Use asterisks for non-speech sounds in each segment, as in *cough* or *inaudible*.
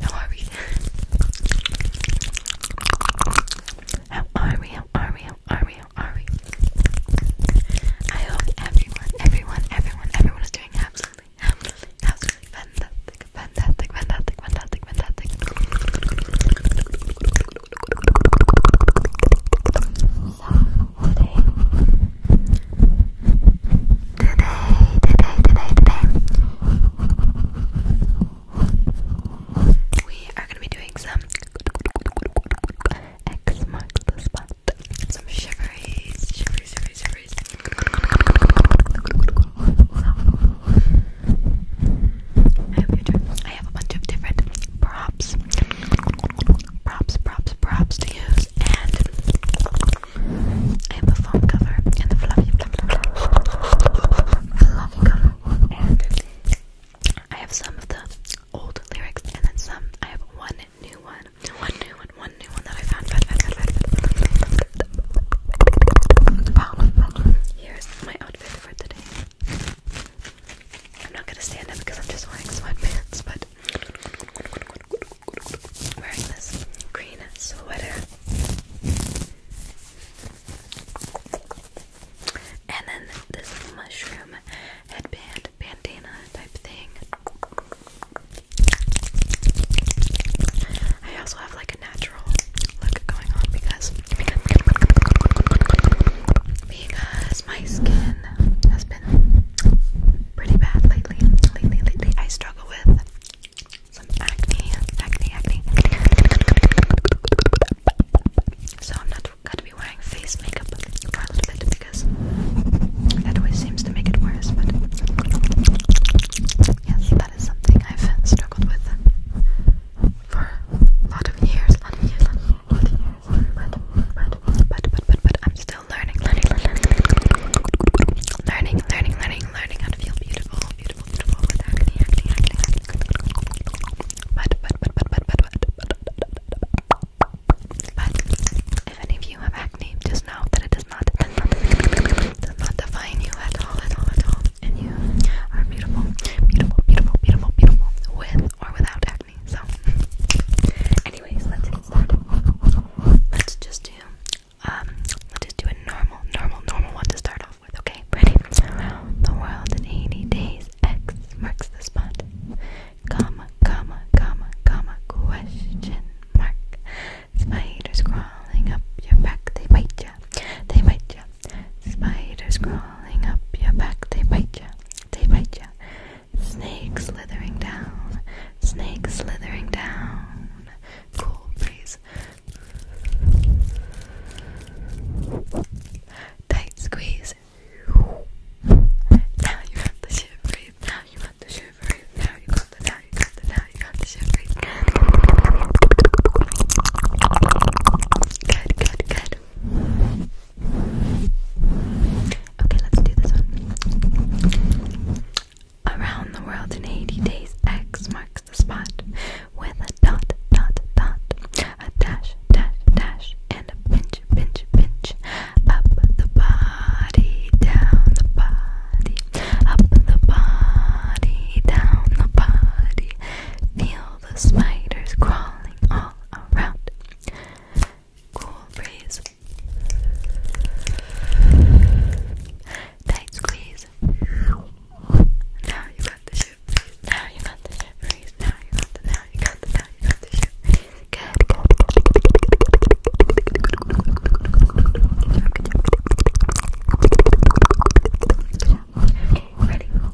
How are we? How are we? How are we? How are we? I hope everyone, everyone, everyone, everyone is doing absolutely, absolutely, fantastic, fantastic, fantastic, fantastic, fantastic. So today, today, today, today we are going to be doing some X marks the spot. Some shiveries, shiveries, shiveries, shiveries. I have a bunch of different props, props, props, props to use, and I have a foam cover and the fluff, I love them. And I have some of the old lyrics, and then some. I have one new one, one new one, one new one that I found. Found, found, found, found, found. Here's my outfit for today. I'm not gonna stand up because I'm just wearing sweatpants, but wearing this green sweater. And then this mushroom headband, bandana type thing. I also have like a natural look going on because because my skin has been pretty bad lately. Lately, lately, I struggle with some acne, acne, acne. So I'm not gonna be wearing face makeup for a little bit because that always seems to make it worse. But yes, that is something I've struggled with for a lot of years, a lot of years, a lot of years. But, but, but, but, but, but I'm still learning, learning, learning, learning, learning, learning, learning, learning, how to feel beautiful, beautiful, beautiful with acne, acne, acne, acne. But, if any of you have acne, just know that it does not, does not define you at all, at all, at all. And you are beautiful, beautiful, beautiful, beautiful, beautiful, with or without acne. So, anyways, let's get started. Let's just do um, let's just do a normal, normal, normal one to start off with, okay? Ready? Around the world in 80 days, X marks the spot. Comma, comma, comma, comma, question mark. Spiders crawling up your back, they bite ya, they bite ya. Spiders crawling up your back, they bite ya, they bite ya. Snakes slithering down, snakes slithering down. Cool breeze, Tight squeeze. Now you got the shivery. Now you got the shivery. Now you got the. Now you got the. Now you got the shivery. Good, good, good. Okay, let's do this one. Around the World in 80 Days X marks the spot with a dot, dot, dot, a dash, dash, dash, and a pinch, pinch, pinch. Up the body, down the body, up the body, down the body. Feel the spiders crawling all around. Cool breeze. Tight squeeze. Now you got the shoot Now you got the shoot Now you got the now you got the now you got the shoot ready, ready,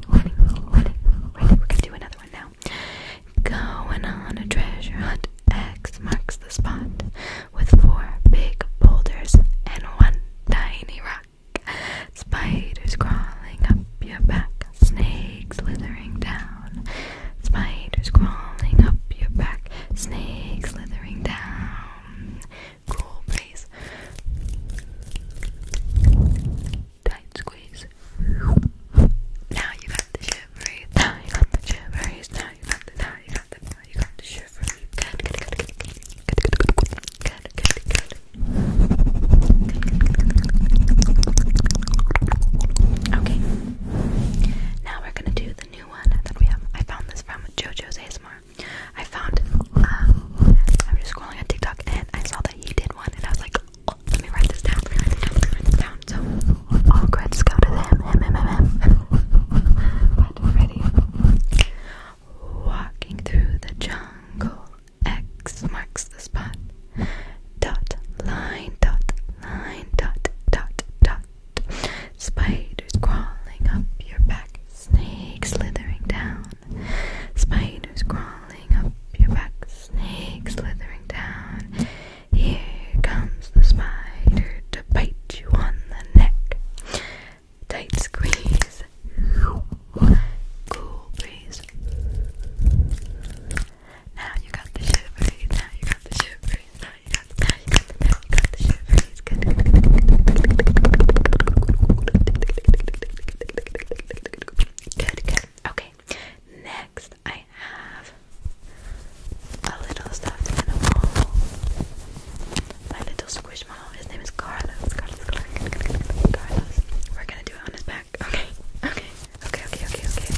ready, ready. We're do another one now. Going on a treasure hunt. X marks the spot with four big boulders and one tiny rock. Spiders crawling up your back, snakes slithering down. Spiders crawling up your back, snakes slithering down. Cool breeze. Tight squeeze. Now you got the shiveries. Now you got the shiveries. Now you got the now Okay. Now we're gonna do the new one that we have. I found this from JoJo's ASMR. I found. Um, I was just scrolling on TikTok and I saw that he did one, and I was like, oh, let me write this down. So all credits go to them. Walking through the jungle. X marks the spot. Dot, line, dot, line, dot, dot, dot. Spiders crawling up your back. Snakes slithering down. Spiders crawling up your back. Snakes slithering down. Here comes the spider to bite you on the neck. Tight squeeze. Cool breeze. Now you got the shit Now you got the shit Now you got the now you got the now Good, good. Okay. Next I have a little stuffed animal. My little squishmallow. His name is Carlos. Carlos, Carlos, Carlos. We're gonna do it on his back. Okay. Okay. Okay. Okay. Okay. Okay.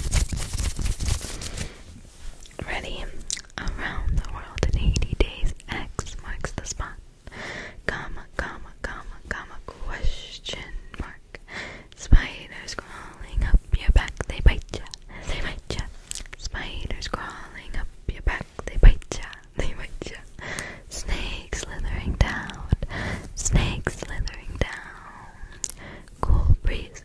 Ready? Around the world in 80 days. X marks the spot. Comma, comma, comma, comma, question mark. Spiders crawling up your back. They bite ya. They bite ya. Spiders crawling up your back, they bite ya, they bite ya. Snake slithering down, snake slithering down. Cool breeze,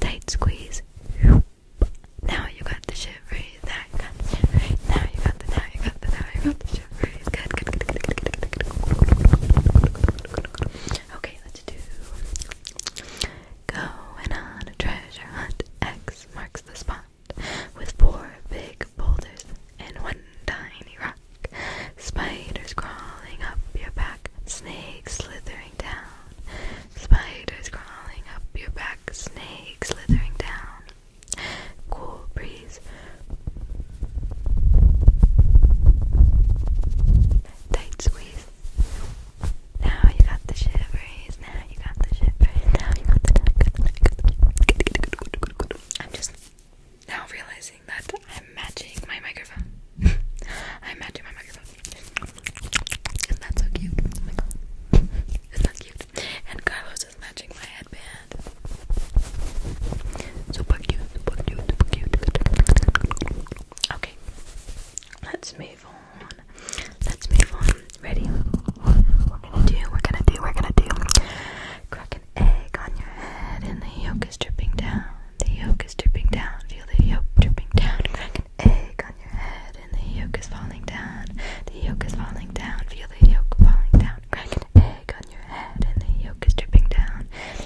tight squeeze. Now you got the shiveries, now you got the now you got the, now you got the, now Good, good, good, good, good, good, good, good, good, good, good, good, good, Going on a treasure hunt, X marks the spot with four big boulders and one tiny rock. Spiders crawling up your back, snakes slithering down. Spiders crawling up your back, snakes slithering down. Cool breeze. Tight squeeze. Now you got the shivers. Now you got the shivers. Now you got the. I'm just now realizing that I'm matching my microphone. *laughs* I'm matching my microphone. is so cute? Oh not cute? And Carlos is matching my headband. Super cute, super cute, super cute. Okay. Let's move on. Let's move on. Ready? We're gonna do, we're gonna do, we're gonna do. Crack an egg on your head and the yolk is dripping down. The yolk is dripping down. Feel the yolk dripping down. Crack an egg on your head and the yolk is falling down. The yolk is falling down. Feel the yolk falling down. Crack an egg on your head and the yolk is dripping down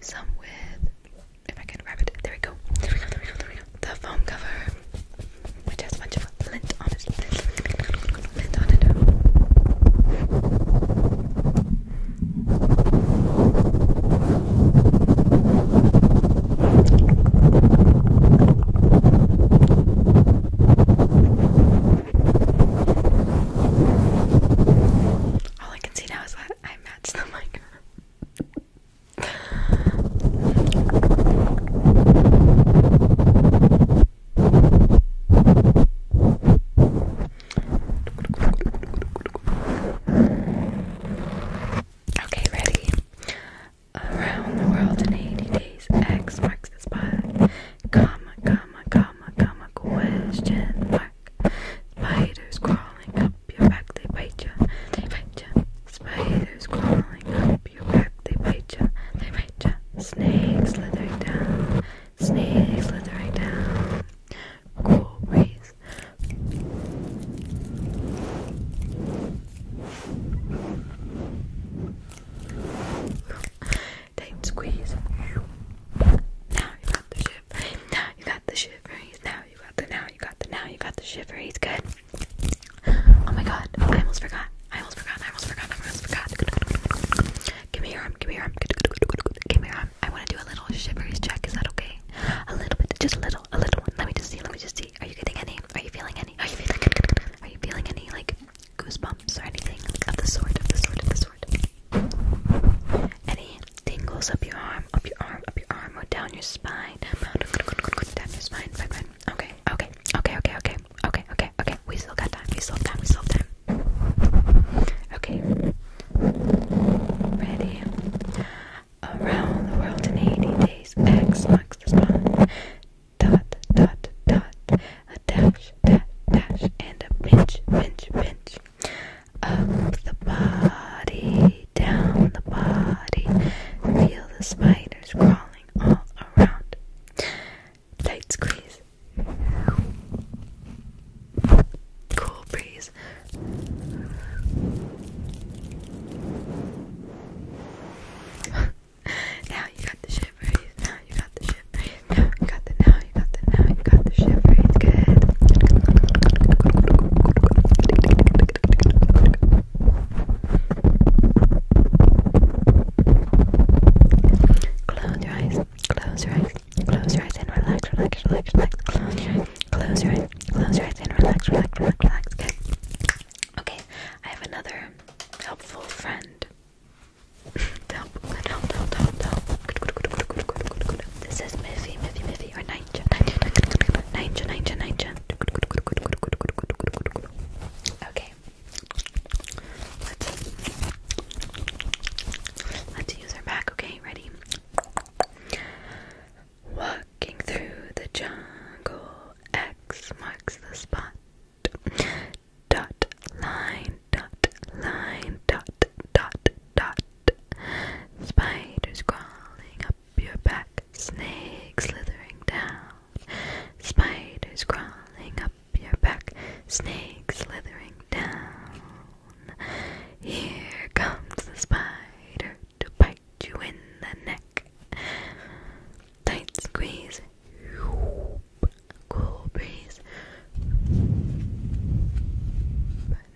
do some with, if I can grab it, there we go, the foam cover, which has a bunch of lint on it, lint on it, I can see now I matched the okay, ready? Around the world in 80 days, X marks the Comma, comma, comma, comma, question mark. Spiders crawling up your back, they bite you, they bite you. Spiders crawling up your back, they bite ya, they bite ya. Snakes slithering down, snakes slithering down. Cool breeze tight squeeze. Now you got the shiver. Now you got the shiveries. Now you got the now you got the now you got the shiveries. Good. Oh my god, I almost forgot. I almost forgot. I almost forgot. I almost forgot. Give me your arm. Give me your arm. Give me your arm. I want to do a little shiveries check. Is that okay? A little bit, just a little, a little one. Let me just see. Let me just see. Are you getting any? Are you feeling any? Are you feeling? Are you feeling any like goosebumps or anything of the sort? Of the sort? Of the sort? good. Any tingles up your arm, up your arm, up your arm, or down your spine? Down your spine, spine, spine. Okay, okay, okay, okay, okay, okay, okay, okay. We still got time. We still have time. We still have time. Okay. Ready? Around the world in 80 days. X marks the spot. Dot, dot, dot. A dash, dash, dash, and a pinch, pinch, pinch. Up the body, down the body. Feel the spiders crawling all around. Tight squeeze. Cool breeze. *laughs* now you got the shivers you got the shit right. *laughs* You got the now, you got the now, you got the shit right. Good. Close your eyes. Close your eyes. Close your eyes and relax, relax, relax, relax. Close your eyes. Close your eyes. Close your eyes and relax, relax, relax, relax. Okay. Okay. I have another helpful friend. This is Miffy, Miffy, Miffy, or Ninja, Ninja, Ninja, Ninja, Okay. Let's let's use our back. Okay, ready? Walking through the jungle, X marks the spot dot line dot line dot dot dot spiders crawling up your back snakes slithering down spiders crawling up your back snakes slithering down here comes the spider to bite you in the neck tight squeeze cool breeze.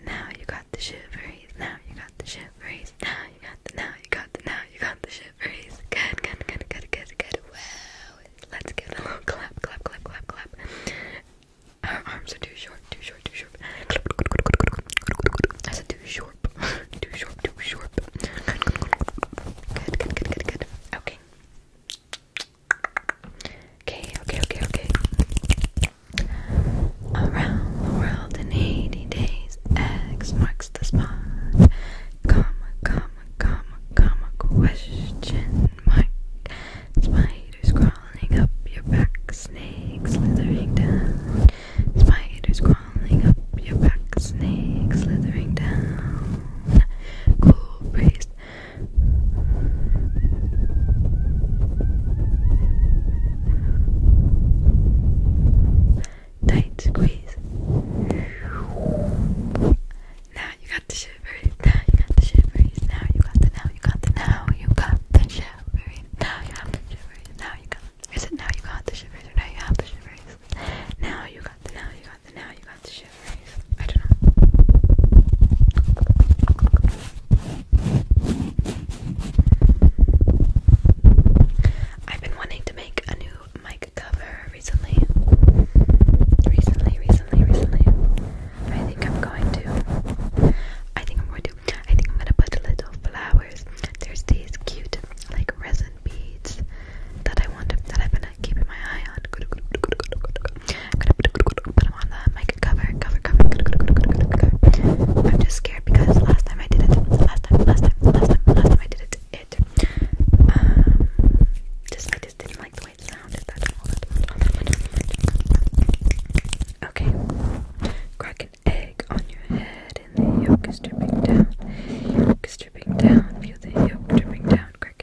now you got the shiveries. Now you got the shiveries. Now you got the now you got the now you got the shiveries. Good, good, good, good, good, good. Wow. Let's give a little clap, clap, clap, clap, clap. Our arms are too short, too short, too short. too short, *laughs* too short, too short. Good, good, good, good, good. Okay. Okay, okay, okay, okay. Around the world in 80 days, X marks the spot. Comma, comma, comma, comma, question mark. Spiders crawling up your back, snakes slithering down. Spiders crawling up your back, snakes slithering down. Cool breeze Tight squeeze. Now you got the shivery. Now you got the shiveries. Now you got the now you got the now you got the shivery. Now you got the shiveries. Now you got. Is it now you got the shivers or now you have the shivers? Now you got the now you now you got the shivers. I don't know. I've been wanting to make a new mic cover recently. Recently, recently, recently. I think I'm going to. I think I'm going to. I think I'm going to put little flowers. There's these cute, like resin beads that I want to, that I've been keeping my eye on. Put them on the mic cover, cover, cover, cover. I'm just scared because last time I did it, last time, last time, last time, last time I did it, it. Um, just I just didn't like the way it sounded. That's all. That okay, crack an egg on your head, and the yolk is dripping down. Yolk is dripping down. Feel the yolk dripping down. Crack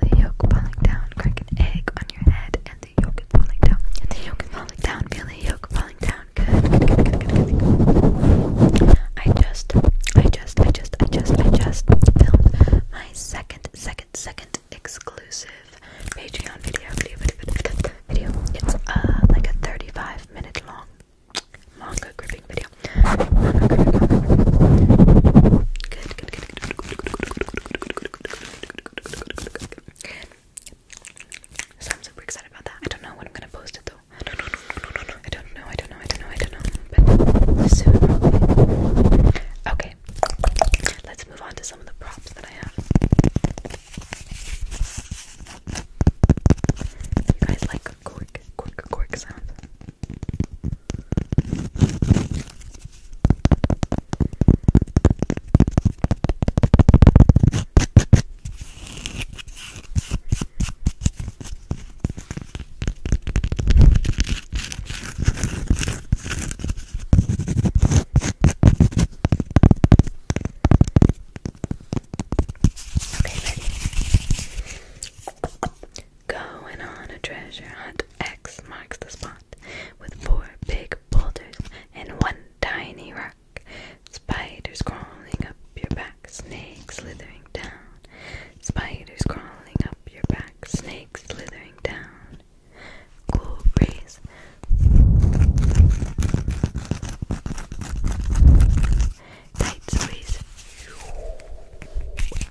feel yolk falling down. Crack egg on your head, and the yolk is falling down. And the yolk is falling down. Feel yolk falling down. Good, I just, I just, I just, I just, I just filmed my second, second, second exclusive Patreon video. Video, video, video, video. It's uh like a 35 minute long manga gripping video. Good, good, good. So I'm super excited about that. I don't know when I'm gonna post it though. I don't know, I don't know, I don't know, I don't know, I don't know. But soon probably. Okay. Let's move on to some of the props that I have. You guys like cork, cork, cork sounds? Okay, ready? Going on a treasure hunt, X marks the spot with four big boulders and one tiny rock. Spiders crawling up your back, snakes slithering down. Spiders crawling up your back, snakes slithering down. Cool breeze. Tight squeeze.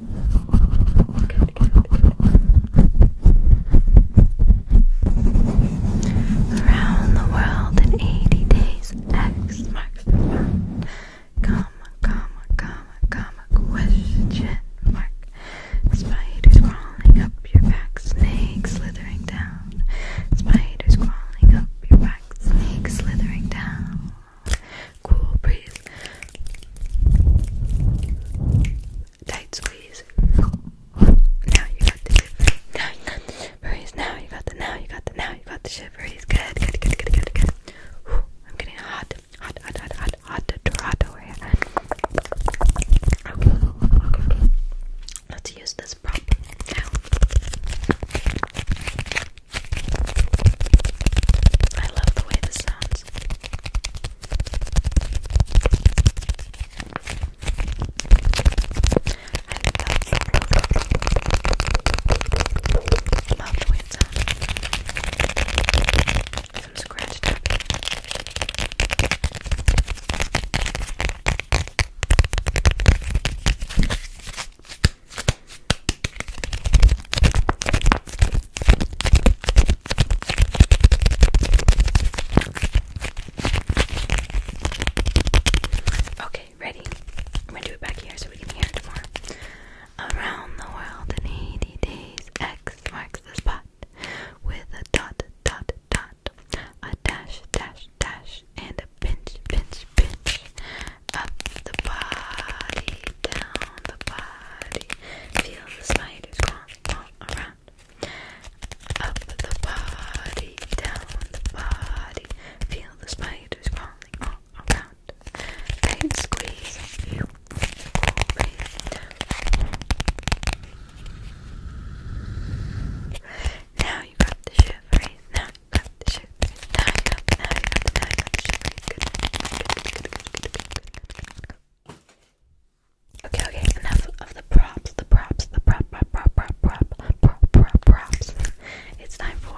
Good, good, Around the world in 80 days, X marks Comma, comma, comma, comma, question mark. Spiders crawling up your back, snakes slithering down. Spiders crawling up your back, snakes slithering down. Cool breeze. Tight squeeze. Now you got the shiveries. Now you got the shiveries. Now you got the now you got the now you got the shiveries. Good, good, good, good, good, good. Ooh, I'm getting hot, hot, hot, hot, hot, hot Toronto here. Okay, okay, okay. Let's use this prop now. I love the way this sounds. I love, love the way it sounds. Some scratch tapping. Okay, ready? I'm gonna do it back here so we can hear it more. Around the world in 80 days, X marks the spot with a dot, dot, dot, a dash, dash, dash, and a pinch, pinch, pinch up the body, down the body. Feel the spiders crawling all around. Up the body, down the body. Feel the spiders crawling all around. Tight squeeze, feel the cool breathing Now you got the shiveries. Now Okay, okay, enough of the props, the props, the prop, prop, prop, prop, prop, props. It's time for.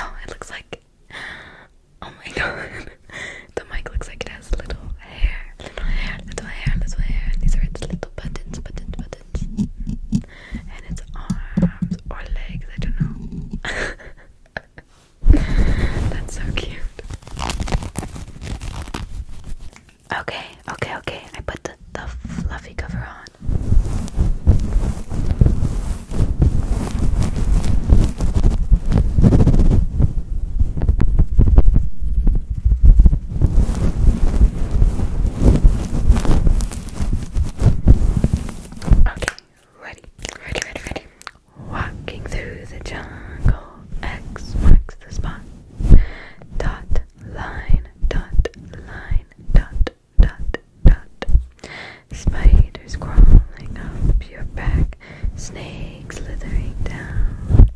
Oh, it looks like. Oh my *laughs* god. the mic looks like it has little hair. Little hair, little hair, little hair. these are its little buttons, buttons, buttons. And its arms or legs, I don't know. *laughs* That's so cute. Okay, okay, okay. I put the, the fluffy cover on. Okay, ready, ready, ready, ready. Walking through the jungle, X marks the spot. Dot, line, dot, line, dot, dot, dot. Spiders crawling up your back, snakes slithering down.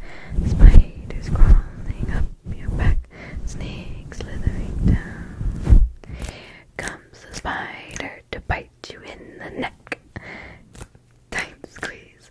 Spiders crawling up your back, snakes slithering down. comes a spider to bite you in the neck. Tight squeeze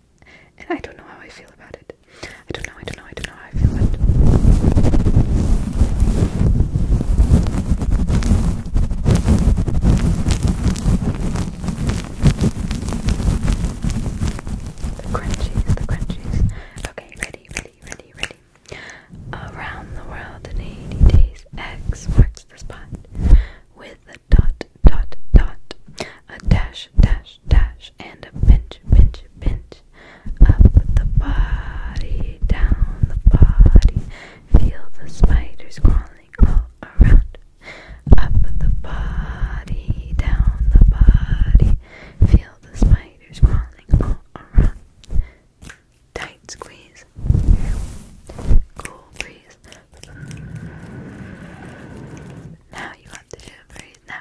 and I don't know how I feel about it. I don't know, I don't know, I don't know how I feel about it. The crunchies, the crunchies. Okay, ready, ready, ready, ready. Around the world in 80 days, X marks the spot with a dot, dot, dot, a dash, dash, dash pinch and a pinch, pinch, pinch. Up the body, down the body. Feel the spiders crawling all around. Up the body, down the body. Feel the spiders crawling all around. Tight squeeze. Cool breeze. Now you have to do a breeze. Now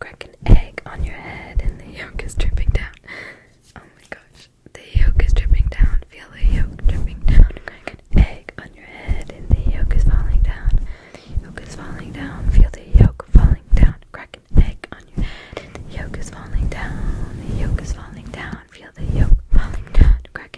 Crack egg on your head and the yolk is dripping down. Oh my gosh. The yolk is dripping down. Feel the yolk dripping down. Crack egg on your head and the yolk is falling down. yolk is falling down. Feel the yolk falling down. Crack egg on your head yolk is falling down. The yolk is falling down. Feel the yolk falling down. Crack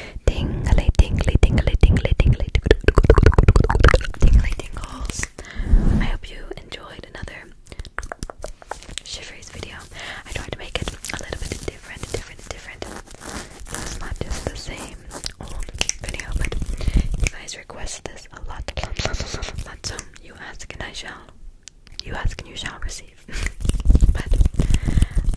tingly, tingly, tingly, tingly, tingly, tingly tingles. I hope you enjoyed another shiveries video. I tried to make it a little bit different, different, different. It's not just the same old video, but you guys request this a lot, a lot, a lot, a lot, a lot. So you ask and I shall. You ask and you shall receive. *laughs* but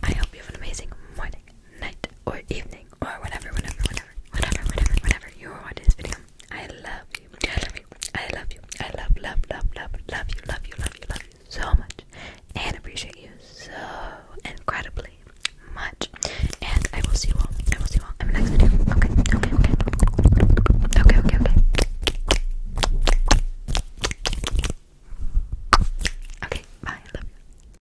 I hope you have an amazing morning night, or evening, or whatever, whatever, whatever, whatever, whatever, whatever you are watching this video. I love you. I love you. I love you. I love, love, love, love, love you, love you, love you, love you so much, and appreciate you so incredibly much. And I will see you all. I will see you all in the next video. Okay, okay, okay, okay, okay, okay. Okay, bye. I love you.